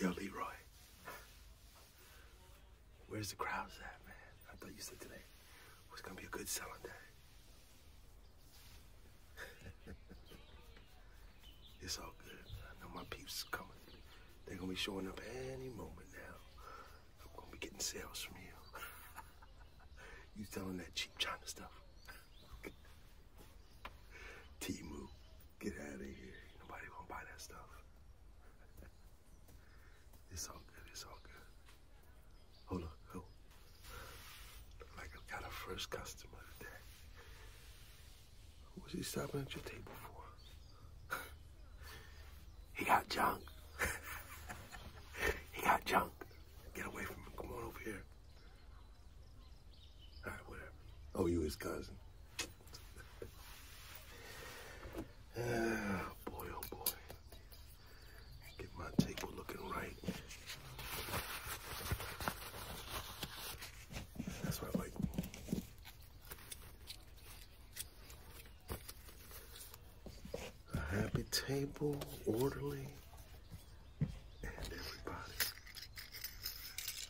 Yo, Leroy. Where's the crowds at, man? I thought you said today was gonna be a good selling day. it's all good. I know my peeps are coming. They're gonna be showing up any moment now. I'm gonna be getting sales from you. you selling that cheap China stuff. Timu, get out of here. Nobody gonna buy that stuff. it's all good, it's all good. Hold on, hold. Like i got a first customer today. What's he stopping at your table for? he got junk. he got junk. Get away from him. Come on over here. Oh, you his cousin. Oh, boy, oh, boy. Get my table looking right. That's what I A happy table, orderly.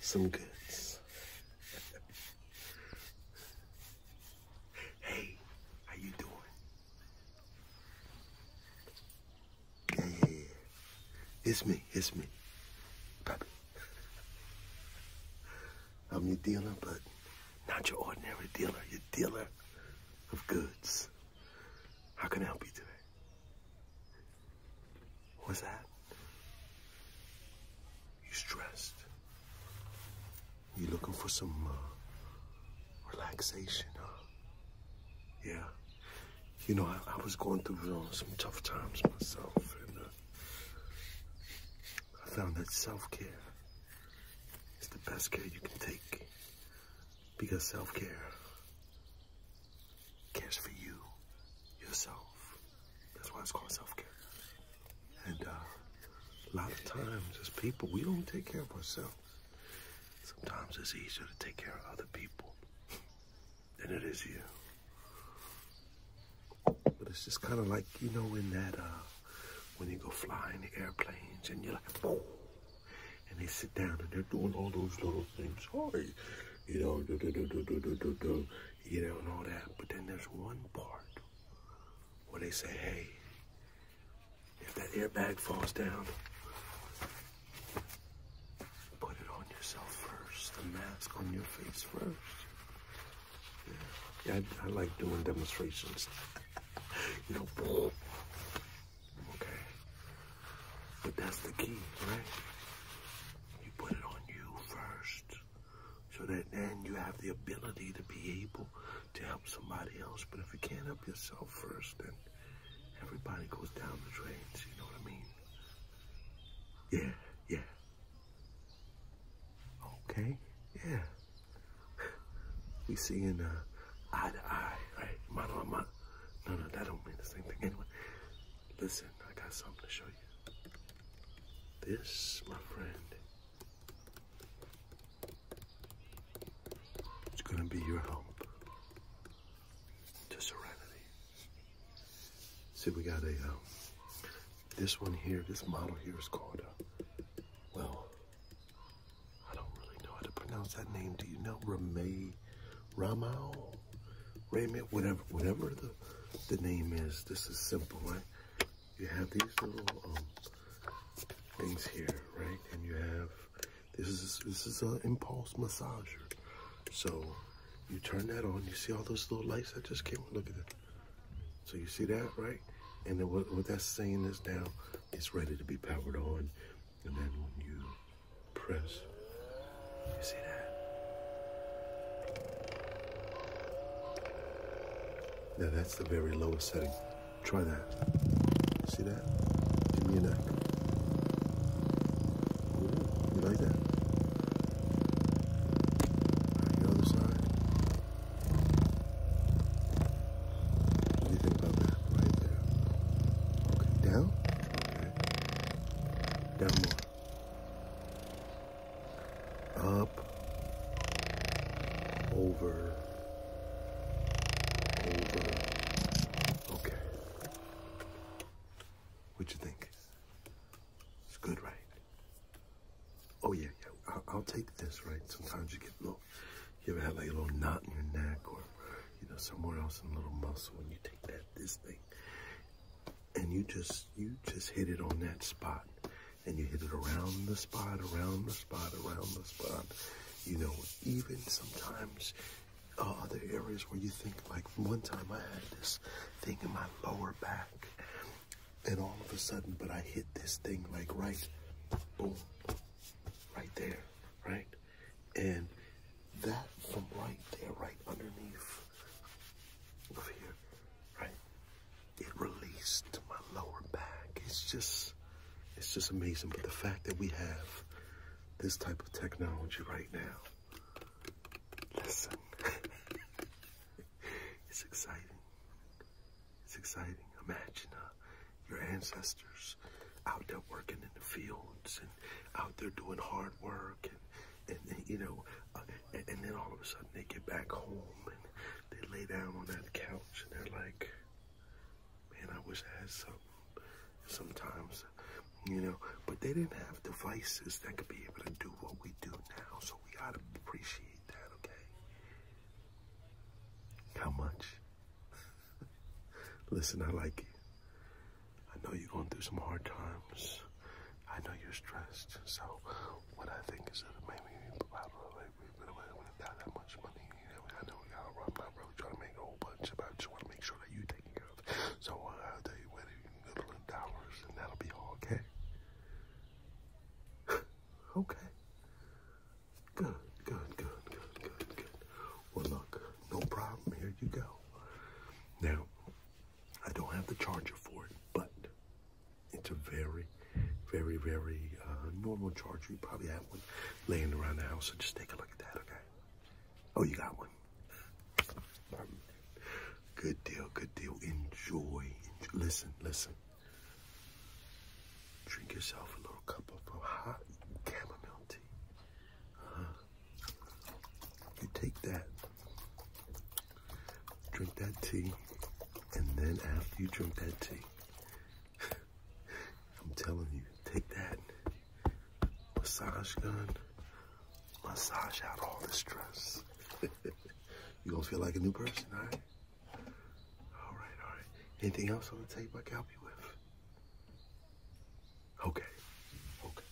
some goods. hey, how you doing? Yeah, It's me, it's me, puppy. I'm your dealer, but not your ordinary dealer, your dealer of goods. How can I help you today? What was that? You stressed? You looking for some uh, relaxation, Yeah. You know, I, was going through some tough times myself, and uh, I found that self-care is the best care you can take because self-care cares for you, yourself. That's why it's called self-care. And uh, a lot of times as people, we don't take care of ourselves. Sometimes it's easier to take care of other people than it is you. But it's just kind of like, you know, in that, uh, when you go flying the airplanes and you're like, and they sit down and they're doing all those little things. you know, you know, and all that. But then there's one part where they say, hey, if that airbag falls down, put it on yourself first, the mask on your face first. Yeah, I, like doing demonstrations. you know, Okay? But that's the key, right? You put it on you first so that then you have the ability to be able to help somebody else. But if you can't help yourself first, then everybody goes down the drains, you know what I mean? Yeah, yeah. Okay, yeah. We seeing uh, eye to eye, right? Mano a mano. No, no, that don't mean the same thing anyway. Listen, I got something to show you. This, my friend, it's gonna be your help to serenity. See, we got a, um, this one here, this model here is called, a uh, well, I don't really know how to pronounce that name. Do you know Ramay, Ramao, Ramay, whatever, whatever the the name is? This is simple, right? You have these little um, things here, right? And you have this is this is an impulse massager. So you turn that on. You see all those little lights I just came. Look at that. So you see that, right? And then what, what that's saying is now it's ready to be powered on. And then when you press, you see that? Now that's the very lowest setting. Try that. See that? Give me your neck. you like that? What do you think about that right there? down? Down more. Up. Over. Over. Okay. What you think? It's good, right? Oh, yeah, yeah. I'll, I'll take this, right? Sometimes you get a little you ever had like a little knot in your neck or, you know, somewhere else in a little muscle and you take that, this thing, and you just, you just hit it on that spot and you hit it around the spot, around the spot, around the spot. You know, even sometimes uh, oh, other areas where you think like one time I had this thing in my lower back and all of a sudden, but I hit this thing like right, boom, right there, right? And that from right there, right underneath over here, right? It released my lower back. It's just, it's just amazing. But the fact that we have this type of technology right now, listen, it's exciting. It's exciting. Imagine uh, your ancestors out there working in the fields and out there doing hard work and, you know, uh, and, then all of a sudden they get back home and they lay down on that couch and they're like, man, I wish I had some." sometimes, you know, but they didn't have devices that could be able to do what we do now. So we ought to appreciate that, okay? How much? Listen, I like you. I know you're going through some hard times. I know you're stressed. So, what I think is that maybe probably we really wouldn't have that much money. I know y'all, I'm not really trying to make a whole bunch, but I just want to make sure that you're taken care of. So, uh, I'll tell you what, you a go to the dollars and that'll be all okay. okay. Good, good, good, good, good, good. Well, look, no problem. Here you go. Now, I don't have the charger for it, but it's a very, very, very uh, normal charger. You probably have one laying around the house, so just take a look at that, okay? Oh, you got one. Good deal, good deal. Enjoy. Listen, listen. Drink yourself a little cup of hot chamomile tea. You take that, drink that tea, and then after you drink that tea, I'm telling you, take that massage gun, massage out all the stress. You're gonna feel like a new person, right? All right, all right. Anything else on the tape I can help you with? Okay, okay.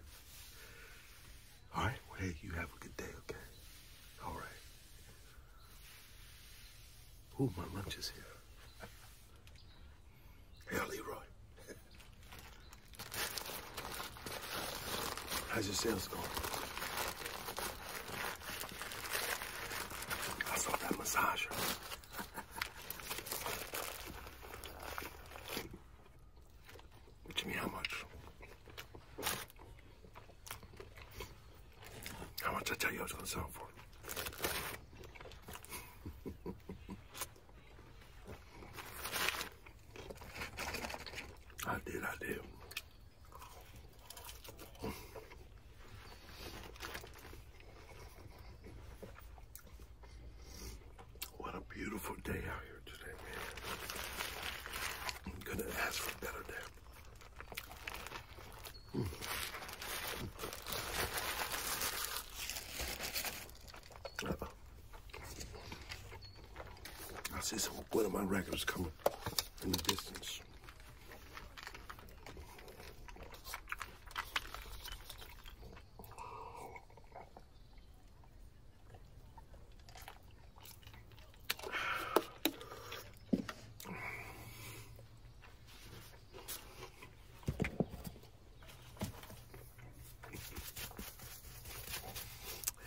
all right, well, hey, you have a good day, okay? All right. Ooh, my lunch is here. Hey, Leroy. How's your sales going? I saw that massager. Which mean how much? How much I tell you I was gonna sell for? I did, I did. What a beautiful day out here today, man. I'm gonna ask for better day. Mm. I see some one of my records coming in the distance.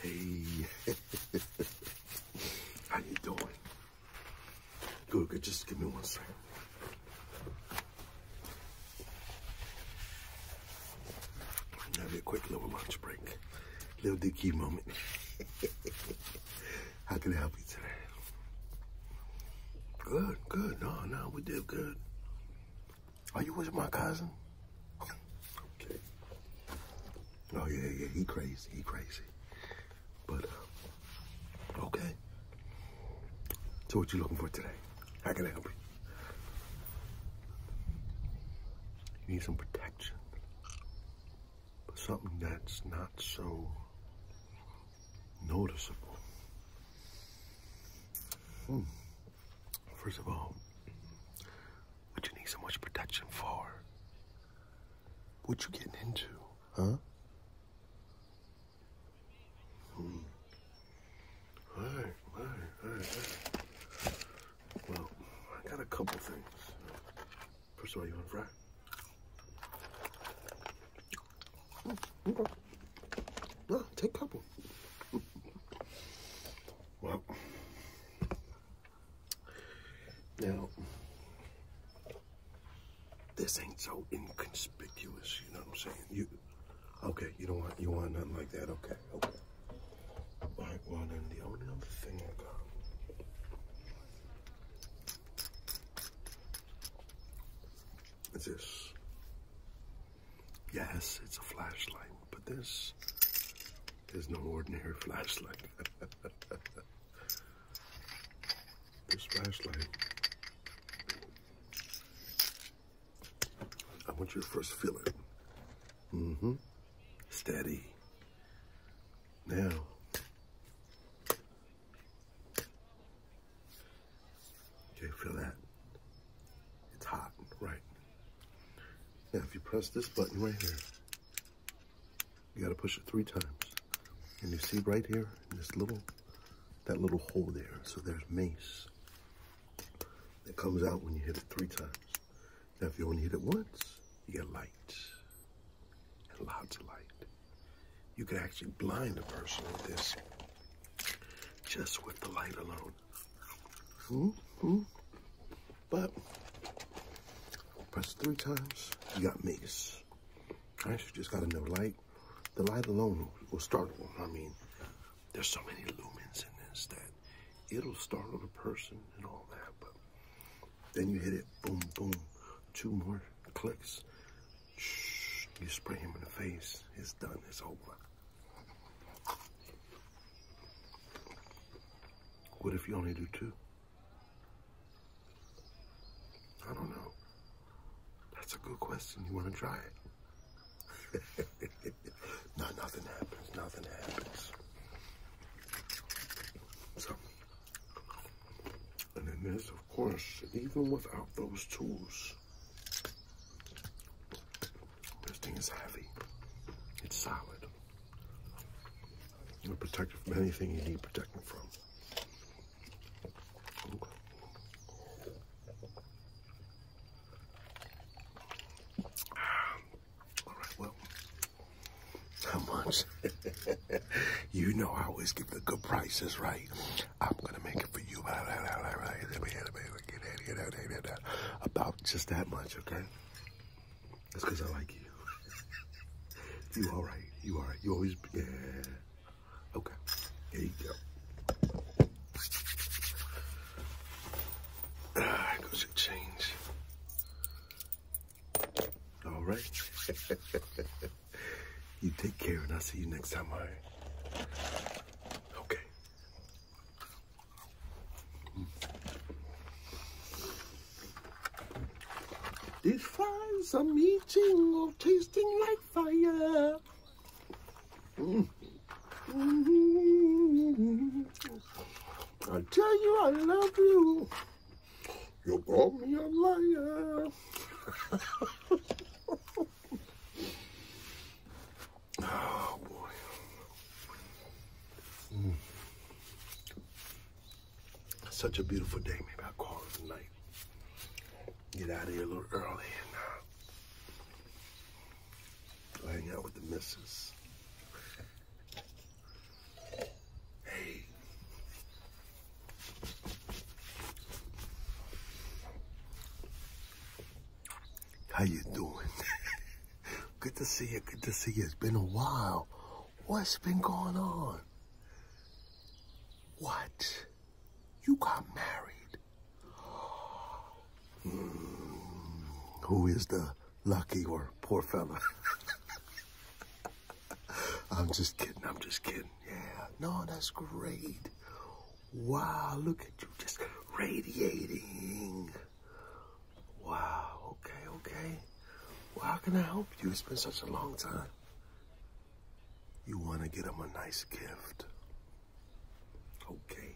Hey, how you doing? Good, good. Just give me one second. Have a quick little lunch break. Little dicky moment. How can I help you today? Good, good. No, no, we did good. Are you with my cousin? okay. Oh yeah, yeah, he crazy, he crazy. But uh, okay. So what you looking for today? How can I help you? You need some protection. something that's not so noticeable. Hmm. First of all, what you need so much protection for? What you getting into, huh? Hmm. Well, I got a couple things. First of all, you want to hmm. take a couple. Hmm. well, now, this ain't so inconspicuous, you know what I'm saying? You, okay, you don't want, you want nothing like that, okay, okay. All right, well then the only other thing I got is this. Yes, it's a flashlight, but this there's no ordinary flashlight. this flashlight, I want you to first feel it. Mm-hmm. Steady. Now, okay, feel that. It's hot, right? Now, if you press this button right here, you gotta push it three times. And you see right here, this little, that little hole there. So there's mace that comes out when you hit it three times. Now if you only hit it once, you get light. And lots of light. You can actually blind a person with this just with the light alone. Mm -hmm. hmm? But press three times, you got Megas. I you just gotta know light. The light alone will startle I mean, there's so many lumens in this that it'll startle the person and all that. But then you hit it, boom, boom, two more clicks. Shh, you spray him in the face. It's done. It's over. What if you only do two? I don't know. That's a good question. You want to try it? no, nothing happens. Nothing happens. So, and then there's, of course, even without those tools, this thing is heavy. It's solid. It'll protect it from anything you need protecting from. Alright, well, how much? you know I always give the good prices, right? I'm gonna make it for you. About just that much, okay? That's because I like you. you all right. You all right. You always, yeah. Okay. Here you go. Ah, goes your change. All right. you take care, and I'll see you next time, all right? Okay. These flies i eating or tasting like fire. I tell you I love you. You call me a liar. Oh boy. Mm. Such a beautiful day. Maybe I'll call it a Get out of here a little early and uh, hang out with the missus. Hey. How you doing? good to see you. Good to see you. It's been a while. What's been going on? What? You got married? Hmm. who is the lucky or poor fella? I'm just kidding. I'm just kidding. Yeah. No, that's great. Wow, look at you just radiating. Wow, okay, okay. Well, how can I help you? It's been such a long time. You want to get him a nice gift. Okay.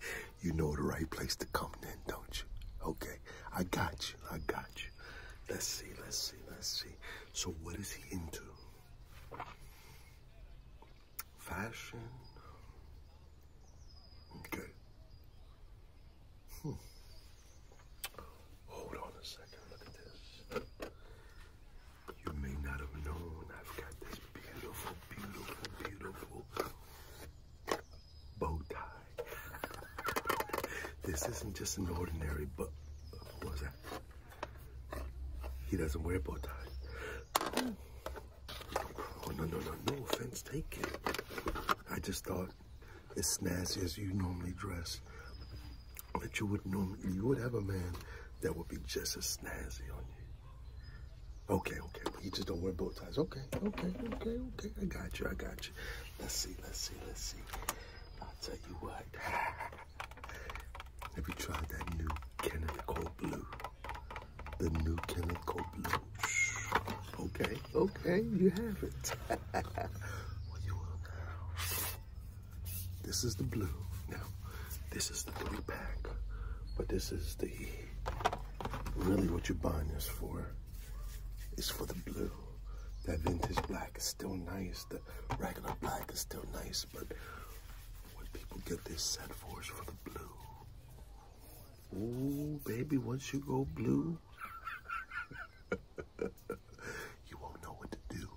you know the right place to come then, don't you? Okay, I got you, I got you. Let's see, let's see, let's see. So what is he into? Fashion. Okay. Hmm. Hold on a second. Look at this. You may not have known I've got this beautiful, beautiful, beautiful bow tie. this isn't just an ordinary bow. What He doesn't wear bow ties. Oh, no, no, no, no offense taken. I just thought, as snazzy as you normally dress, that you would normally, you would have a man that would be just as snazzy on you. Okay, okay, but you just don't wear bow ties. Okay, okay, okay, okay. I got you, I got you. Let's see, let's see, let's see. I'll tell you what. have you tried that new Kenneth Cole Blue? The new Kenneth blue. Okay, okay, you have it. this is the blue. Now, this is the three pack, but this is the really what you're buying is for It's for the blue. That vintage black is still nice. The regular black is still nice, but when people get this set for us for the blue. Ooh, baby, once you go blue, you won't know what to do.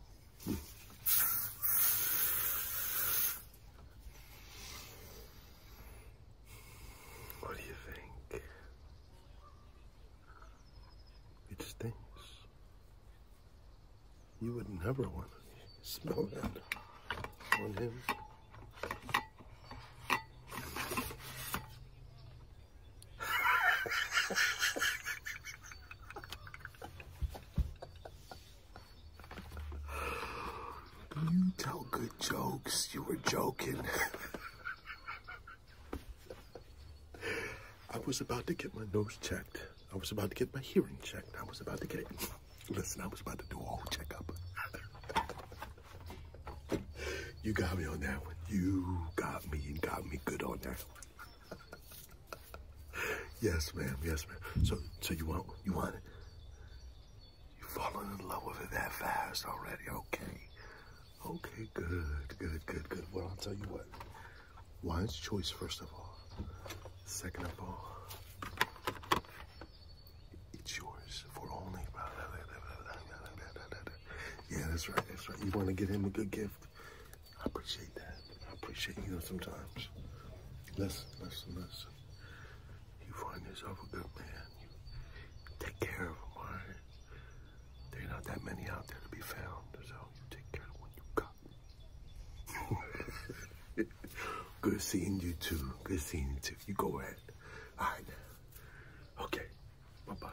what do you think? It stinks. You would never want to smell that on him. you tell good jokes. You were joking. I was about to get my nose checked. I was about to get my hearing checked. I was about to get, listen, I was about to do all whole checkup. you got me on that one. You got me and got me good on that one. yes, ma'am. Yes, ma'am. So, so you want, you want it? You falling in love with it that fast already? Okay. Okay, good, good, good, good. Well, I'll tell you what. Lion's choice, first of all. Second of all, it's yours for only. Yeah, that's right. That's right. You want to get him a good gift. I appreciate that. I appreciate you know sometimes. Listen, listen, listen. You find yourself a good man. You take care of him, all right? are not that many out there to be found, so you take care of what you got. Good seeing you too. Good seeing you too. You go ahead. All right Okay. Bye-bye.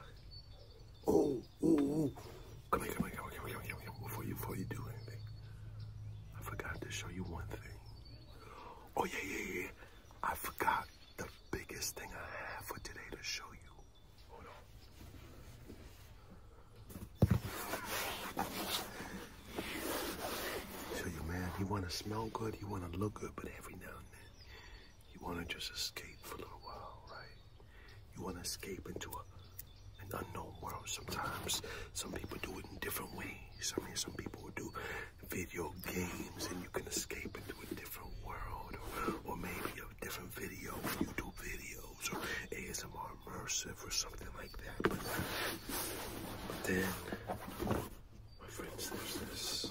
Oh, oh, Come oh. here, come here, come here, come here, come here, come here. Before you, before you do anything. I forgot to show you one thing. Oh, yeah, yeah, yeah. I forgot the biggest thing I have for today to show you. Hold on. So you man, you wanna smell good, you wanna look good, but every now and then you wanna just escape for a little while, right? You wanna escape into an unknown world sometimes. Some people do it in different ways. I mean some people do video games and you can escape into a different world or, or maybe a different video, YouTube videos or ASMR immersive or something like that. But, then, my friends, there's this.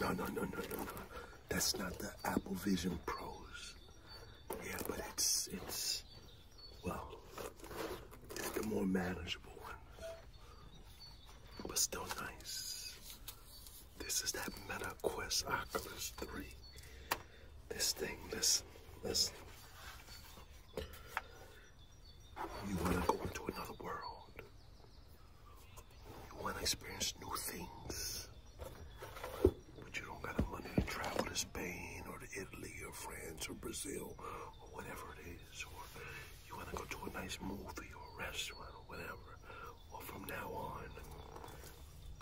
No, no, no, no, no, no. That's not the Apple Vision Pros. Yeah, but it's it's well, the more manageable one, but still nice. This is that Meta Quest Oculus 3. This thing, listen, listen. You want to go into another world. You want to experience new things but you don't got the money to travel to Spain or to Italy or France or Brazil or whatever it is, or you want to go to a nice movie or restaurant or whatever, well, from now on,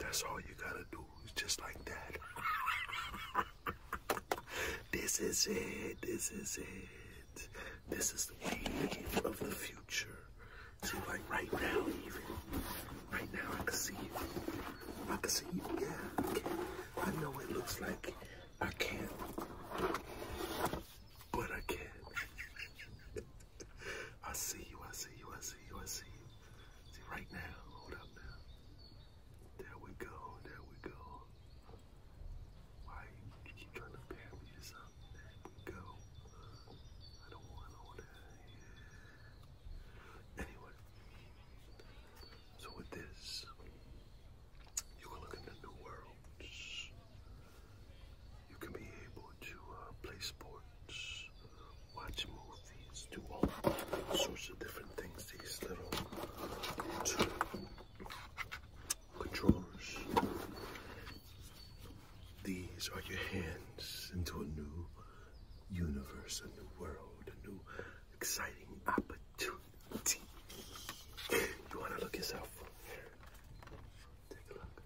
that's all you got to do is just like that. this is it. This is it. This is the wave of the future. See, like right now, even, right now I can see it. I can see, yeah, I, can. I know it looks like I can't, but I can. I see you, I see you, I see you, I see you. See, right now, hold up now. There we go, there we go. Why you keep trying to pair me to something? There we go. I don't want all that. Yeah. Anyway, so with this, you can look into new worlds. You can be able to uh, play sports, watch movies, do all sorts of different things. These little two controllers. These are your hands into a new universe, a new world, a new exciting opportunity. You want to look yourself from here? Take a look.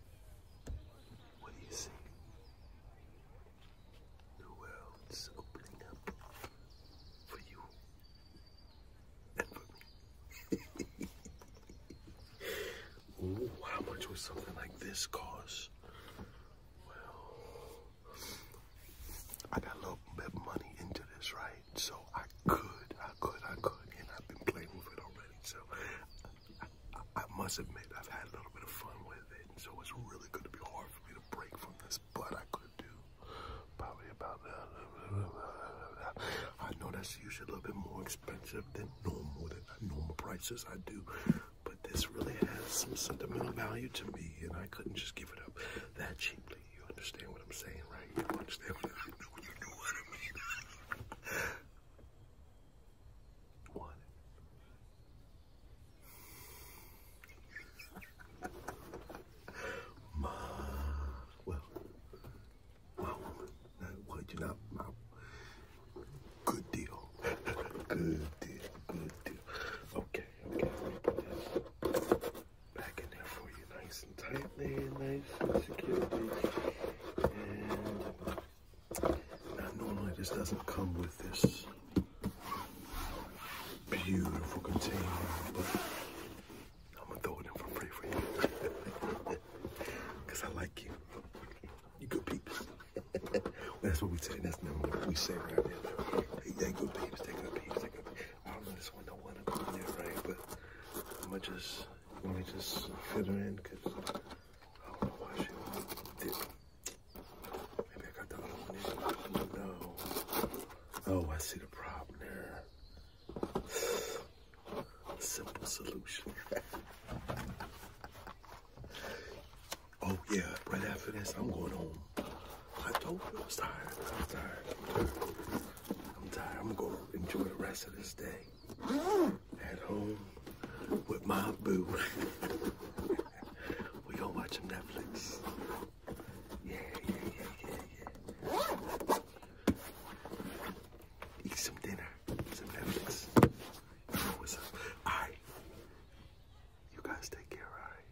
What do you see? The world's opening up for you and how much would something like this cost? Well, I got a little bit of money into this, right? So I could, I could, I could, and I've been playing with it already. So I, must admit, I've had a little bit of fun with it. so it's really going to be hard for me to break from this, but I could do probably about I know that's usually a little bit more expensive than normal, than normal prices I do but this really has some sentimental value to me, and I couldn't just give it up that cheaply. You understand what I'm saying, right? You understand what I know. You know what I mean. One. my well, my woman. Not, well, you're not my. Good deal. Good deal. Good deal. Okay, okay. back in there for you nice and tightly, nice and securely. And normally this doesn't come with this beautiful container, I'm gonna throw it in for you. Cause I like you. You good peeps. that's what we say. That's what we say right now. Hey, take good peeps, take good peeps, take good I don't know this one, don't want to go in there, right? But let me just, let me just fit her in because I don't know why she did. Maybe I got the other one in. No. Oh, I see the problem there. Simple solution. Oh yeah, right after this, I'm going home. I told you I was tired. I'm tired. I'm tired. I'm gonna go enjoy the rest of this day at home with my boo. we gonna watch Netflix. Yeah, yeah, yeah, yeah, yeah. Eat some dinner. Genetics. You know what's up. I, You guys take care, alright?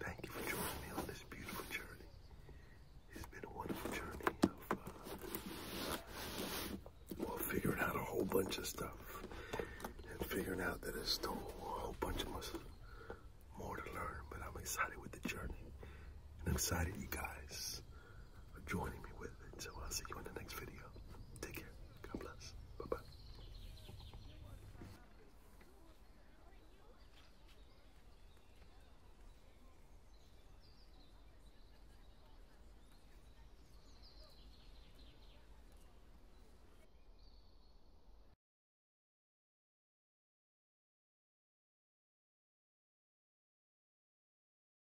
Thank you for joining me on this beautiful journey. It's been a wonderful journey of uh, well, figuring out a whole bunch of stuff and figuring out that there's still a whole bunch of us more to learn. But I'm excited with the journey and excited, you guys for joining me with it. So I'll see you in the next video. Take care. God bless. Bye bye.